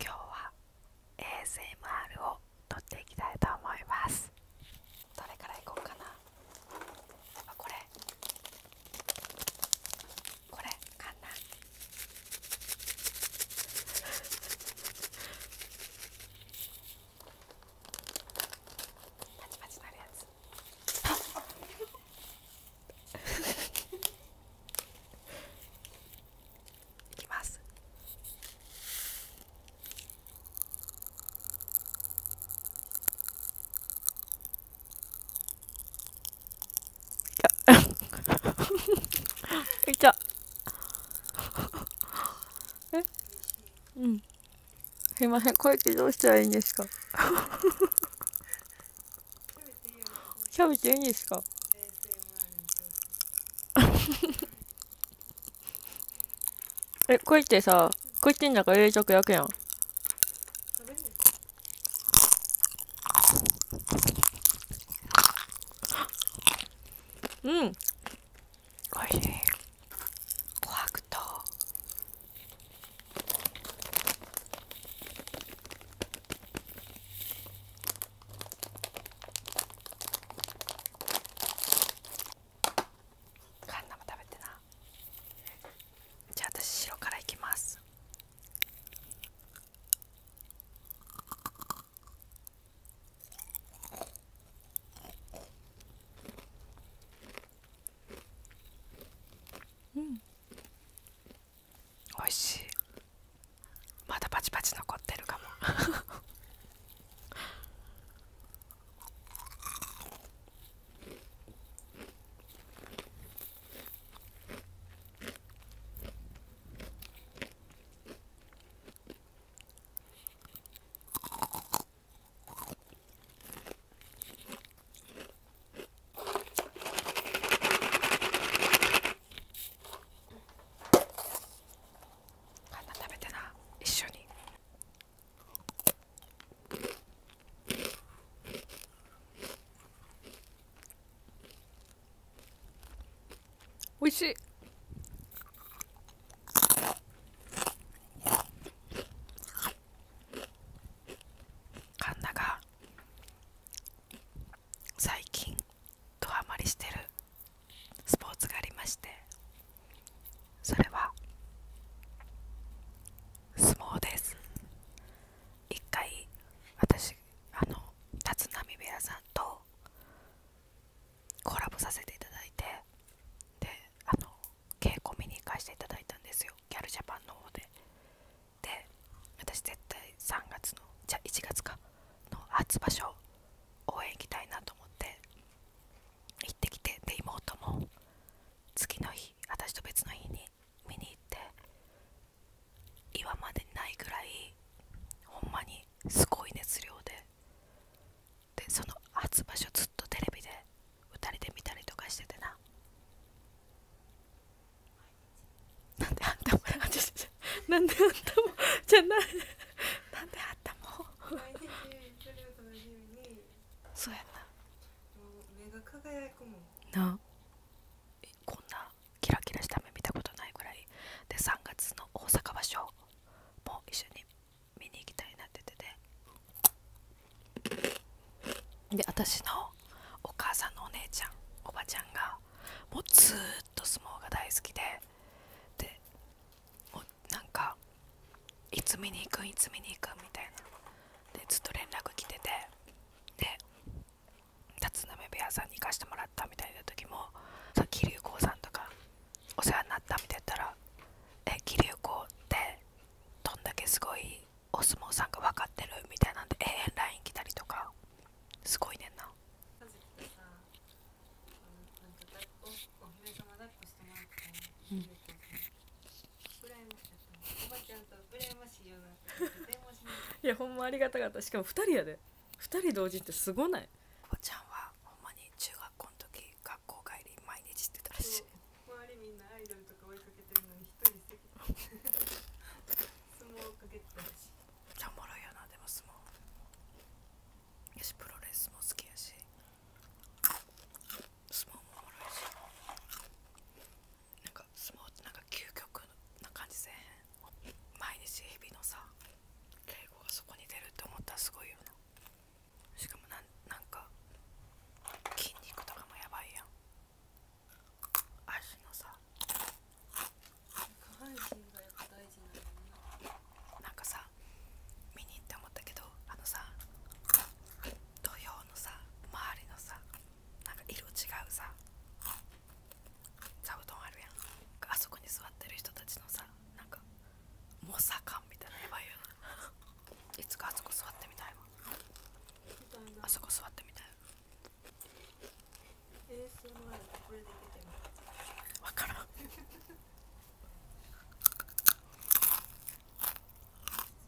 今日は ASMR を撮っていきたいと思いますどれからいこうかなあこれこれかんなパチパチなるやつ いきますい えうんすいませんこうやってしたらいいんですかキャベツいいんですか え、こうやってさ、こうやってんだから冷食焼くやん。うん。おいしい。琥珀カンナも食べてなじゃあ私白からいきますうんおいしいまだパチパチ残ってるかも んな食べてな一緒に。おいしいカンナが最近ドハマりしてるスポーツがありましてそれは相撲です一回私あの立浪部屋さんとコラボさせていただいてであの稽古見に行かせていただいたんですよギャルジャパンの方でで私絶対3月のじゃ1月かの初場所応援行きたいなと思って行ってきてで妹も次の日私と別の日に見に行って今までにないぐらいほんまにすごい熱量ででその初場所ずっとテレビで2人で見たりとかしててななんであんたもなんであんたもじゃないなんであんたもそうやな目が輝くもんなこんなキラキラした目見たことないぐらいで3月の大阪場所も一緒に見に行きたいなって言っててで私のお母さんのお姉ちゃんおばちゃんがもうずっと相撲が大好きででなんかいつ見に行くん。いつ見に行くみたいなでずっと連絡来ててで立浪部屋さんに行かしてもらったみたいな時もさ桐生光さんとかお世話になったみたいだったら「え桐生光ってどんだけすごいお相撲さんが分かってる」みたいなんでええ LINE 来たりとかすごいねんな。いやほんまありがたかったしかも2人やで2人同時ってすごないおちゃんはほんまに中学校の時学校帰り毎日してたしい周りみんなアイドルとか追いかけてるのに一人してた相撲をかけてたらしいおもろいよなでも相撲よしプロレスも好きやし相撲もおもろいしなんか相撲ってなんか究極な感じで毎日日々のさ敬語がそこに出るって思ったすごいよなしかもなんか筋肉とかもやばいやん足のさ下半身がやっぱ大事なのななんかさ見に行って思ったけどあのさ土俵のさ周りのさなんか色違うさ座布団あるやんあそこに座ってる人たちのさなんかモサカンみたいなやばいよないつかあそこ座ってみたいわあそこ座ってみたいわからん普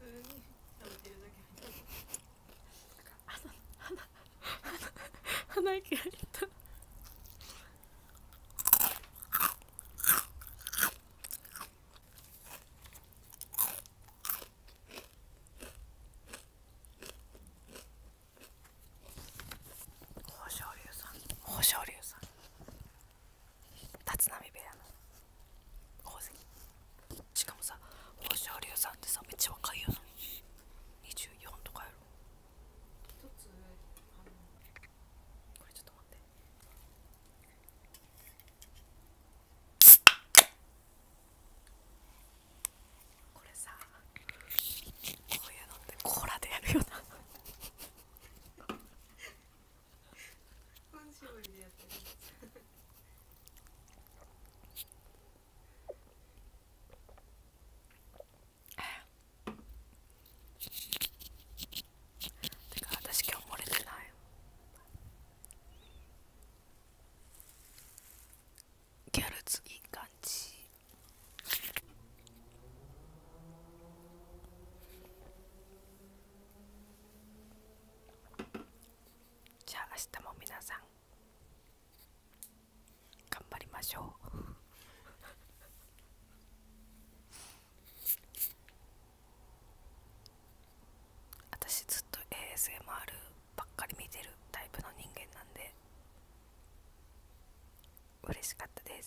通に食べてるだけ鼻鼻息がいった豊昇龍さん豊昇龍さん立浪部屋の。しかもさ宝生流さんってさめっちゃ若いよな24とかやろ一つあのこれちょっと待ってこれさこういうのってコーラでやるよなやてか私今日漏れてないギャルズいい感じじゃあ明日も皆さん頑張りましょう私ずっと ASMR ばっかり見てるタイプの人間なんで嬉しかったです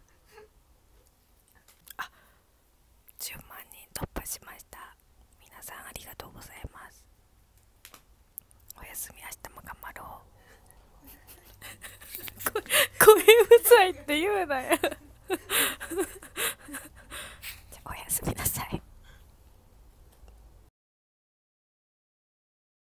あ10万人突破しました皆さんありがとうございますおやすみ明日も頑張ろう声 うるさいって言うなよ おやすみなさい